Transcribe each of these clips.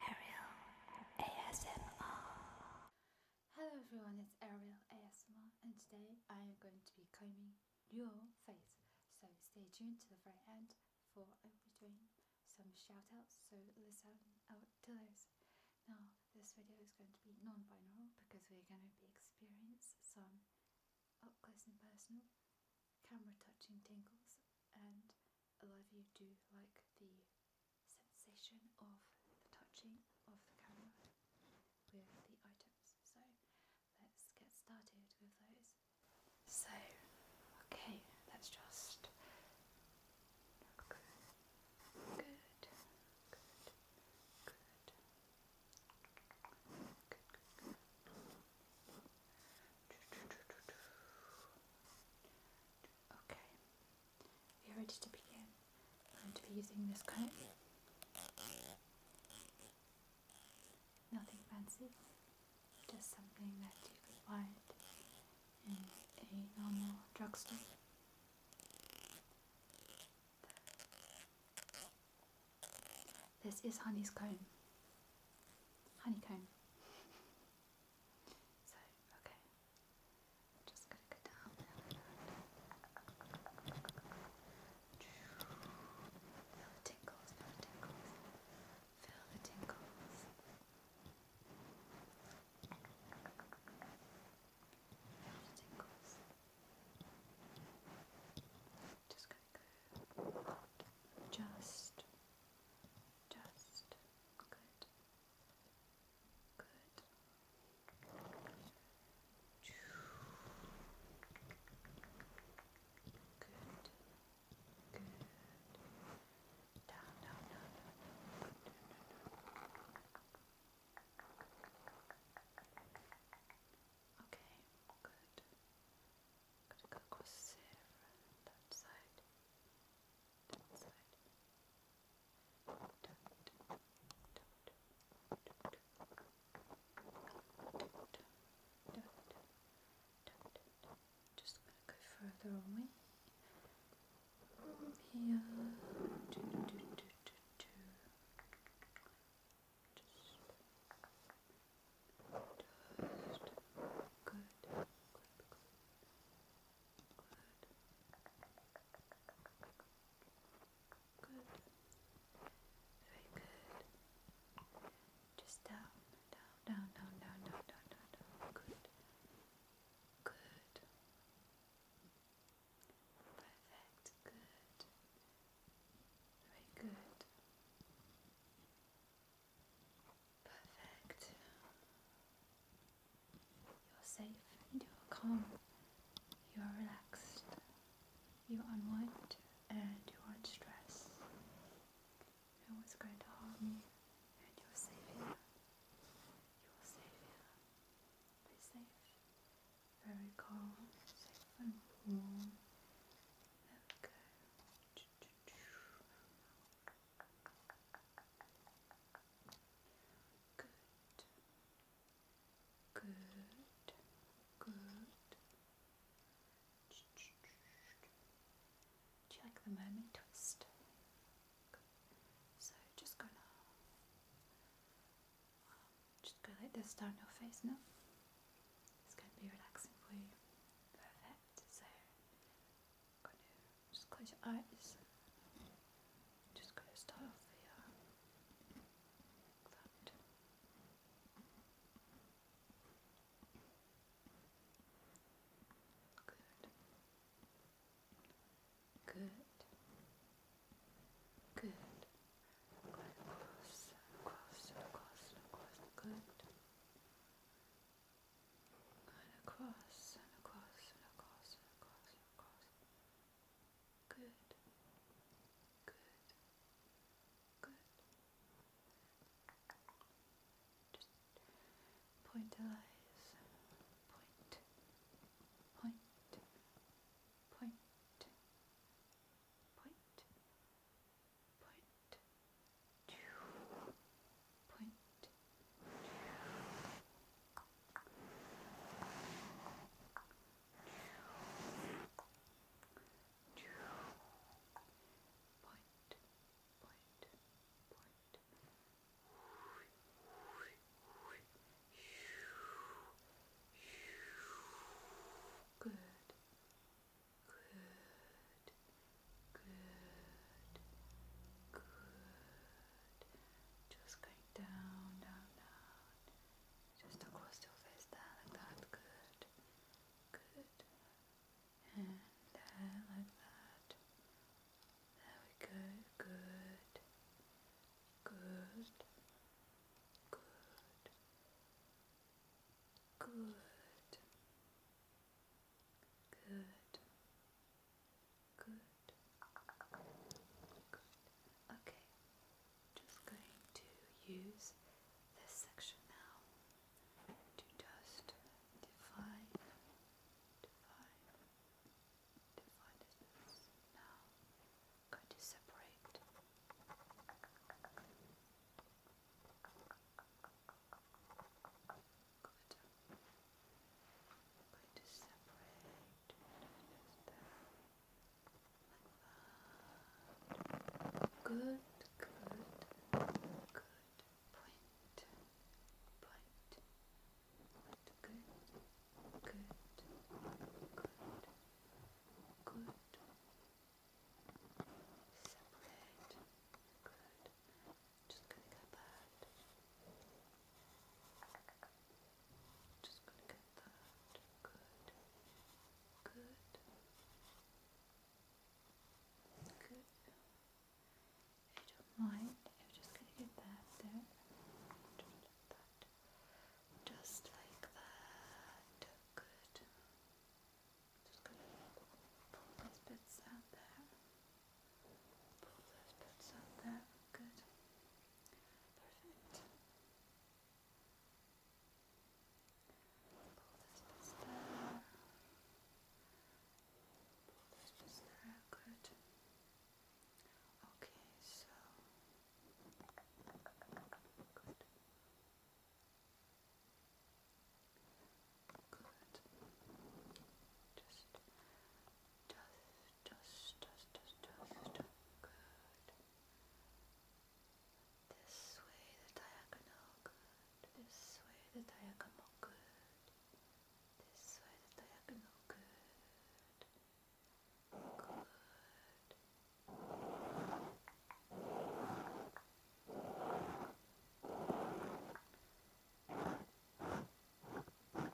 Ariel ASMR. Hello everyone, it's Ariel ASMR and today I am going to be combing your face. So stay tuned to the very end for I will be doing some shout outs, so listen out to those. Now this video is going to be non-binaural because we're going to be experiencing some up close and personal camera touching tingles and a lot of you do like the sensation of touching of the camera with the items. So let's get started with those. So, okay, let's just look good, good, good, good, good, good. Okay, we are ready to begin. I'm going to be using this comb. Nothing fancy, just something that you could find in a normal drugstore. This is honey's comb. Honeycomb. so, okay just go down Feel the tingles, feel the tingles, feel the tingles. Feel the tingles. Just Just, Good. Good. Good. Good. Down, down, down, down, down. Good, down, down, Okay, good. got go across there, that side that side. Just gonna go further away from here. just good, good, good. Good. Very good. Just down, down, down, down, down, down, down, down, Good. Good. Perfect. Good. Very good. Perfect. You're safe, you're calm, you're relaxed, you aren't unwind and you aren't stressed. No one's going to harm you and you're safe here. You're safe here. Be safe. Very calm, safe and warm. There Good. Good. Good. Do you like the mermaid twist? So just gonna um, just go like this down your face No, It's going to be relaxing for you. Perfect. So just close your eyes. Just gonna start off here. Um, Good. Good. Good. Good and across and across and across and across and across. Good, good, good. Just point the eyes. Point, point, point, point, point. Point, Point, point, point. Good. Good. Good. Good. Just going down, down, down. Just across your face there, like that. Good. Good. And there, uh, like that. There we go. Good. Good. Good. Good. Good. Good. Good. Okay. Just going to use this section now to just define, define, define this. Now, going to separate. Good. i to separate this Good, good, good. Point, point, point. Good, good, good, good. Separate. Good. Just gonna get that. Just gonna get that. Good. Good. Good. you don't mind, just gonna get that there. Just like that. Just gonna pull these bits out there. Pull those bits out there. Good. Perfect. Pull those bits there. Pull those bits there. Good. Okay, so. Good. Good. Just, just dust, dust, dust, dust. Good. This way the diagonal. Good. This way the diagonal. Good. This way the diagonal. Good. Good. Good.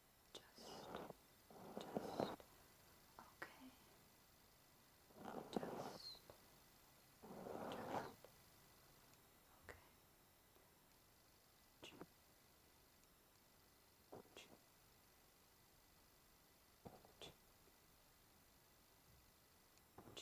just, okay, just, just, okay. Ch Ch Ch Ch Ch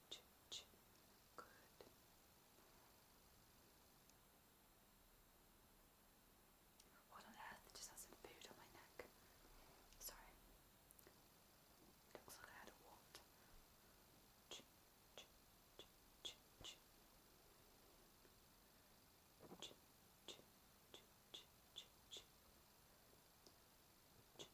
Ch -ch. What on earth just has some food on my neck? Sorry. Looks like I had a wart. Just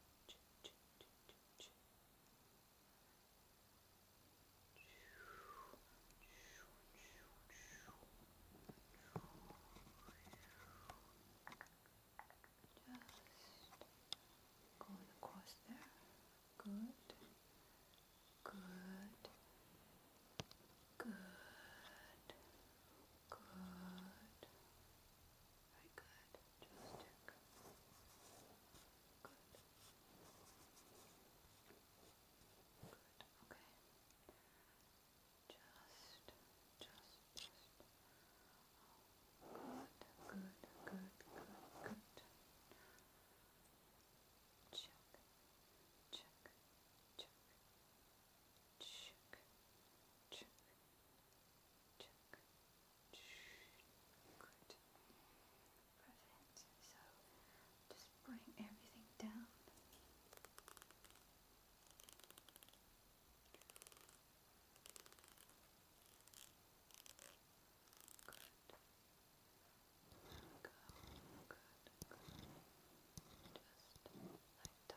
going across there. Good. Good. Good. Good. Very good. Just check. Good. Good. Okay. Just, just, just. good, good, good, good, good. check, check, check, check, check, Check. Good. just bring everything down. Good. Go. Good. Just like that. Good.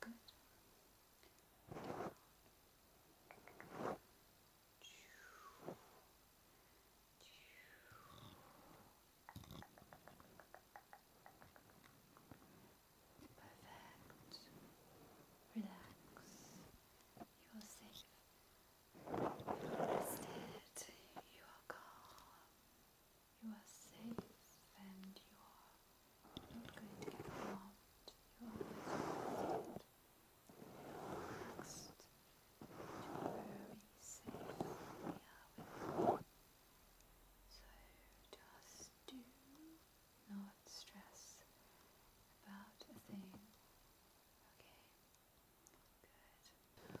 Good. Down. Perfect. Relax. You are safe. You are rested. You are calm. You are safe and you are not going to get harmed. You are always relaxed. You are very safe here with So just do not stress about a thing. Okay? Good.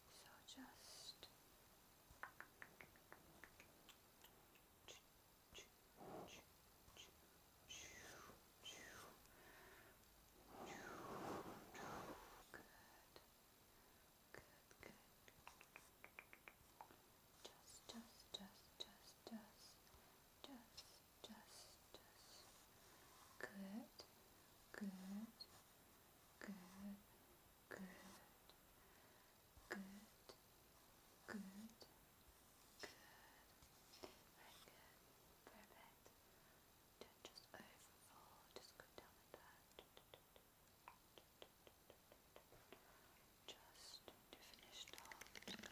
So just good. Good, good. Just, just, just, just, just, just, just, just. Good, good, good, good, good, good, good. Very good, perfect. Don't just overfall, just go down like that. Just to finish off, Good, good,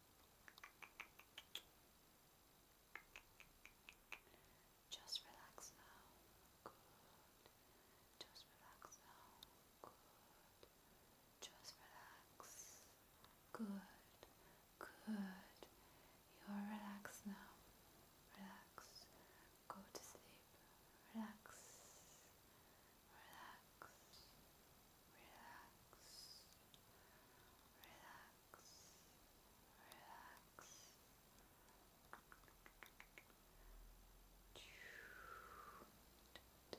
Just relax now. Good. Just relax now. Good. Just relax. Good. Good. You're relaxed now. Relax. Go to sleep. Relax. Relax relax, relax, relax. Good. Just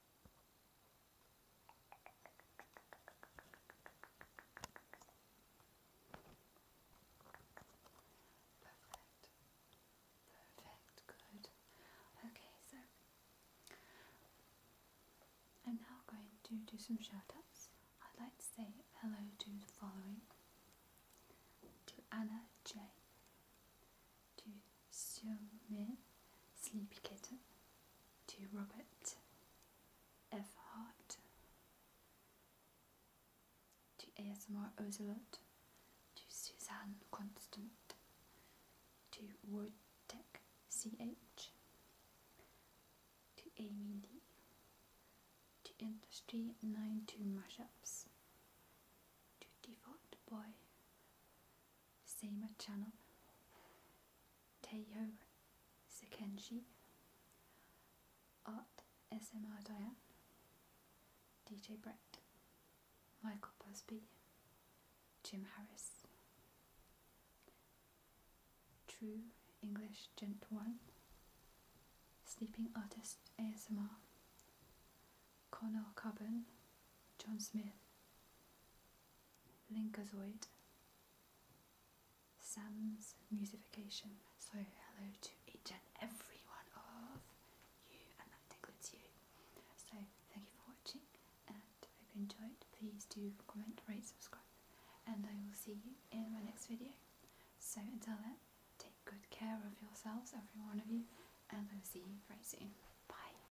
Perfect. Perfect. Good. Okay, so I'm now going to do some shout I'd like to say hello to the following to Anna J, to Xiaomin Sleepy Kitten, to Robert F. Hart, to ASMR Ozelot to Suzanne Constant, to Woodtech CH, to Amy Lee, to Industry 92 Mashups, to Default Boy, same channel. Taiho Sekenshi. Art SMR Diane. DJ Brett. Michael Busby. Jim Harris. True English Gent 1. Sleeping Artist ASMR. Connor Carbon. John Smith. Linkazoid, Sam's Musification. So, hello to each and every one of you, and that includes you. So, thank you for watching, and I hope you enjoyed. Please do comment, rate, subscribe, and I will see you in my next video. So, until then, take good care of yourselves, every one of you, and I will see you very soon. Bye.